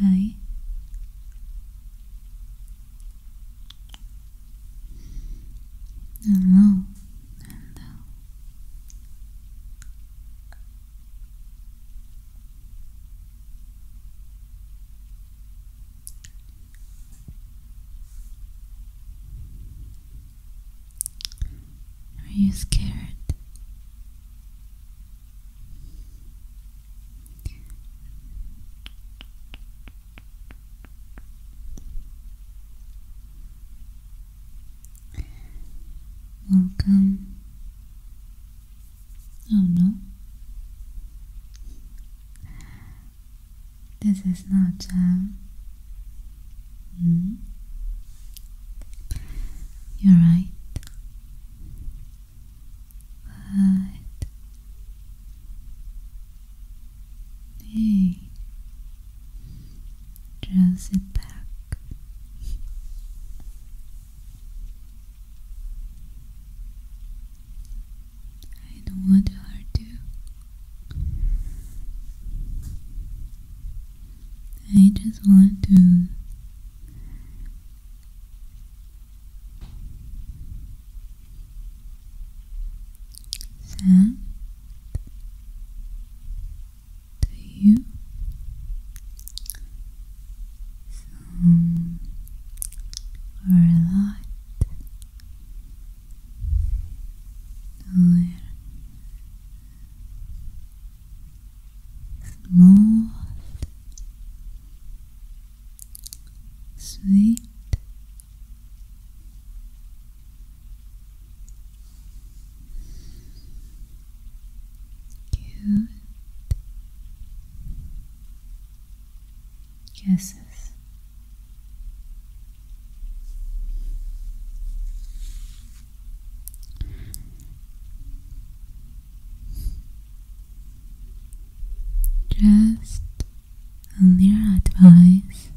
Hi. Hello. Hello. Are you scared? Welcome. Oh no. This is not jam. Um, hmm. You're right. But hey, just sit back. I don't want to hurt you. I just want to sound to you some or tired, smooth, sweet. Cute, kisses. Just a little advice,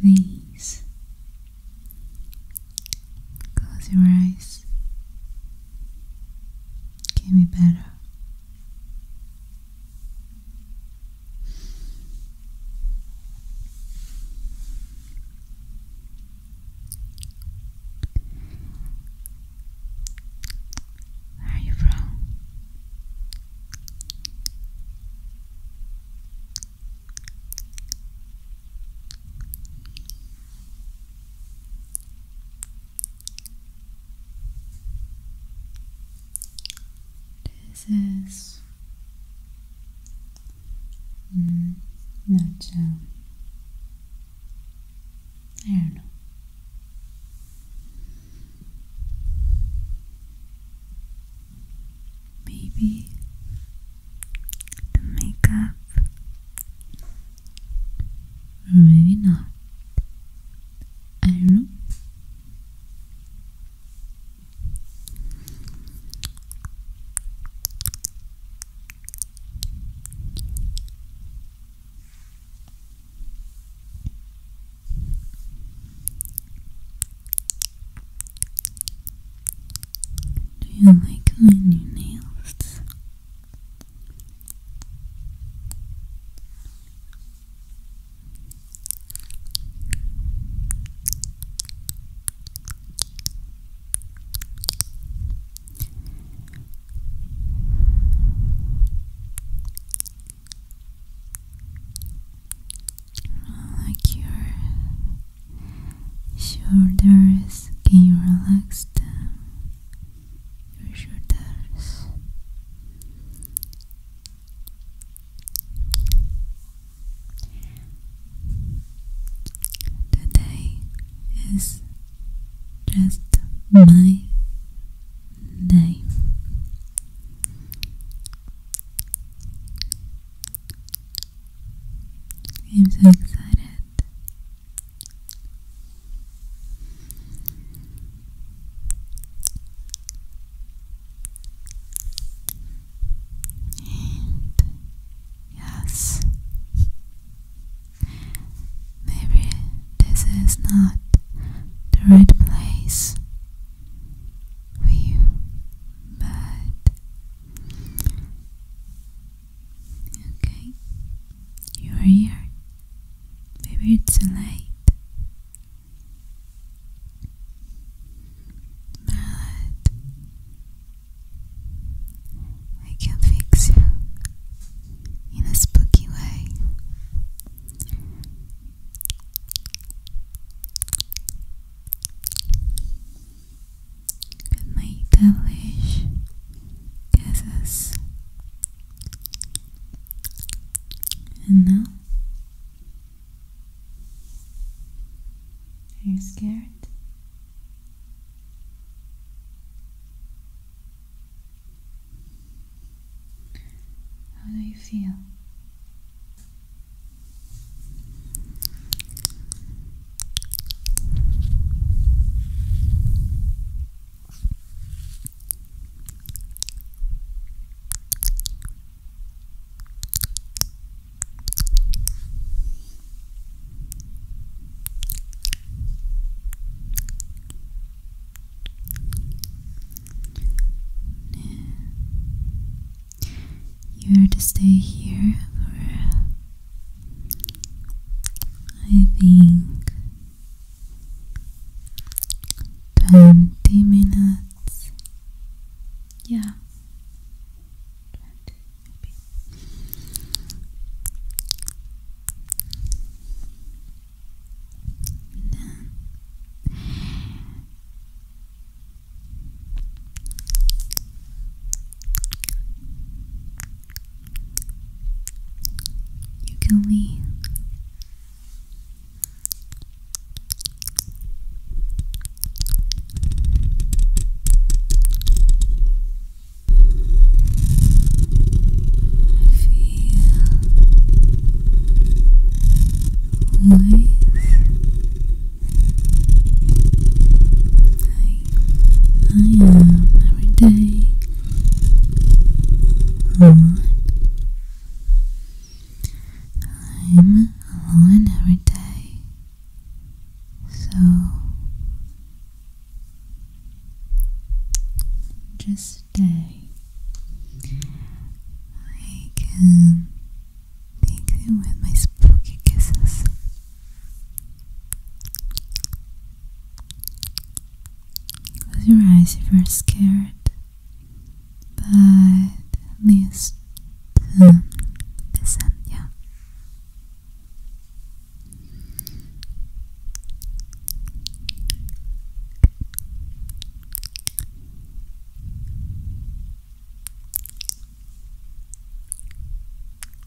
please close your eyes. Can be better. Where are you from? This is mm, not. Um, I don't know. Maybe the makeup maybe not. I don't know. Do you like my new nails? Like your shoulders can relax them Today is just my day. I'm so excited and yes, maybe this is not the right place for you, but okay, you are here. Maybe it's too late. Mallet, I can fix you in a spooky way. With my devilish kisses and Are you scared? How do you feel? You are to stay here for I think twenty minutes. Yeah. You kill me. I feel always I I am every day. I'm alone every day. So just stay. I can take you with my spooky kisses. Close your eyes if you're scared. But at least um, listen, yeah.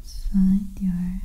Let's find your relax.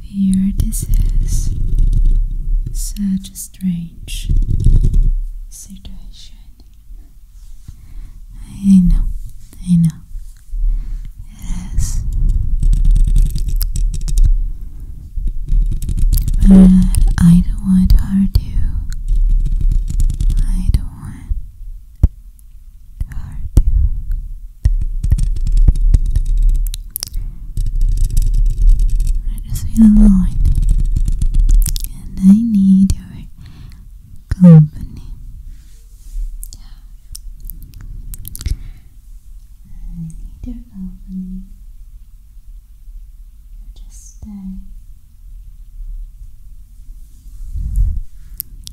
Here this is such a strange situation. I know, I know. It is. But I don't want to hurt you. I don't want I just feel alone, and I need your company. I need your company. Just stay.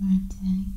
Martin.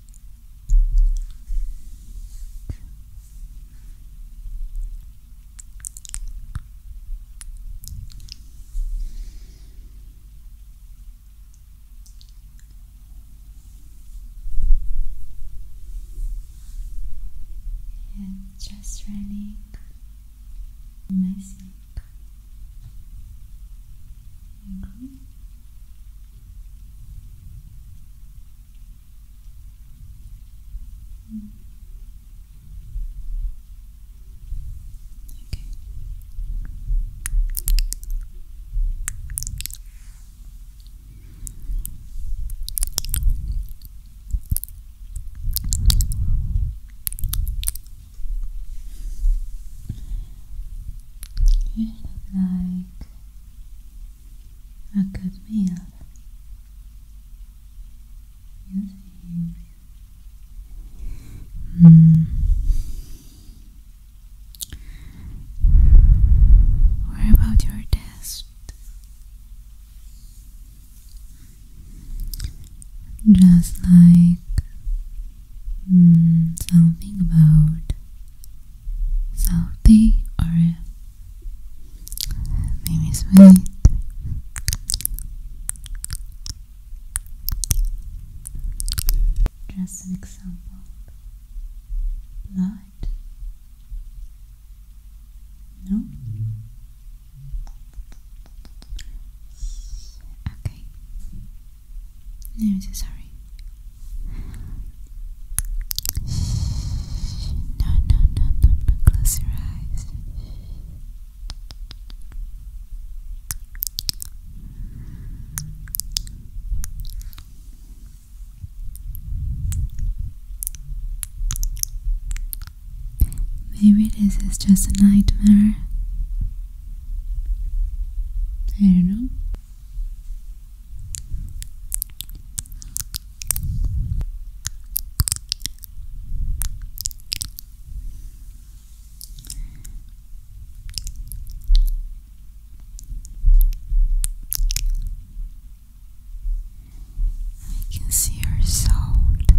and just running my angle. Mm. Okay. Okay. You like a good meal. You think? Mm. What about your test? Just like mm, something about salty or maybe sweet. Just an example. Blood. No. Okay. No, I'm sorry. No, no, no, no, no. Close your eyes. Maybe this is just a nightmare. I don't know. I can see her sound.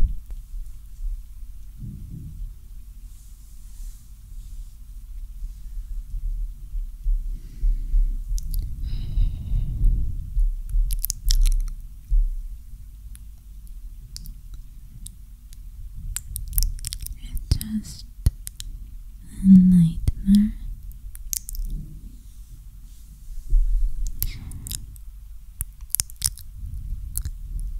It's just a nightmare.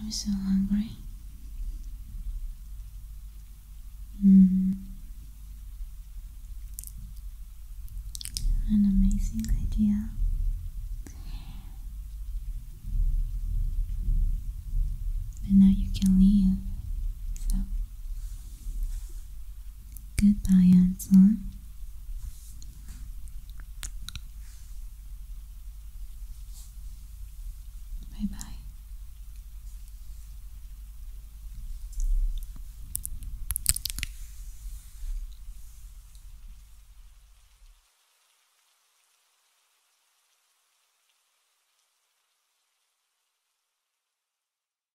I'm so hungry. Hmm. An amazing idea. But now you can leave. So Goodbye, Anselm. Bye bye.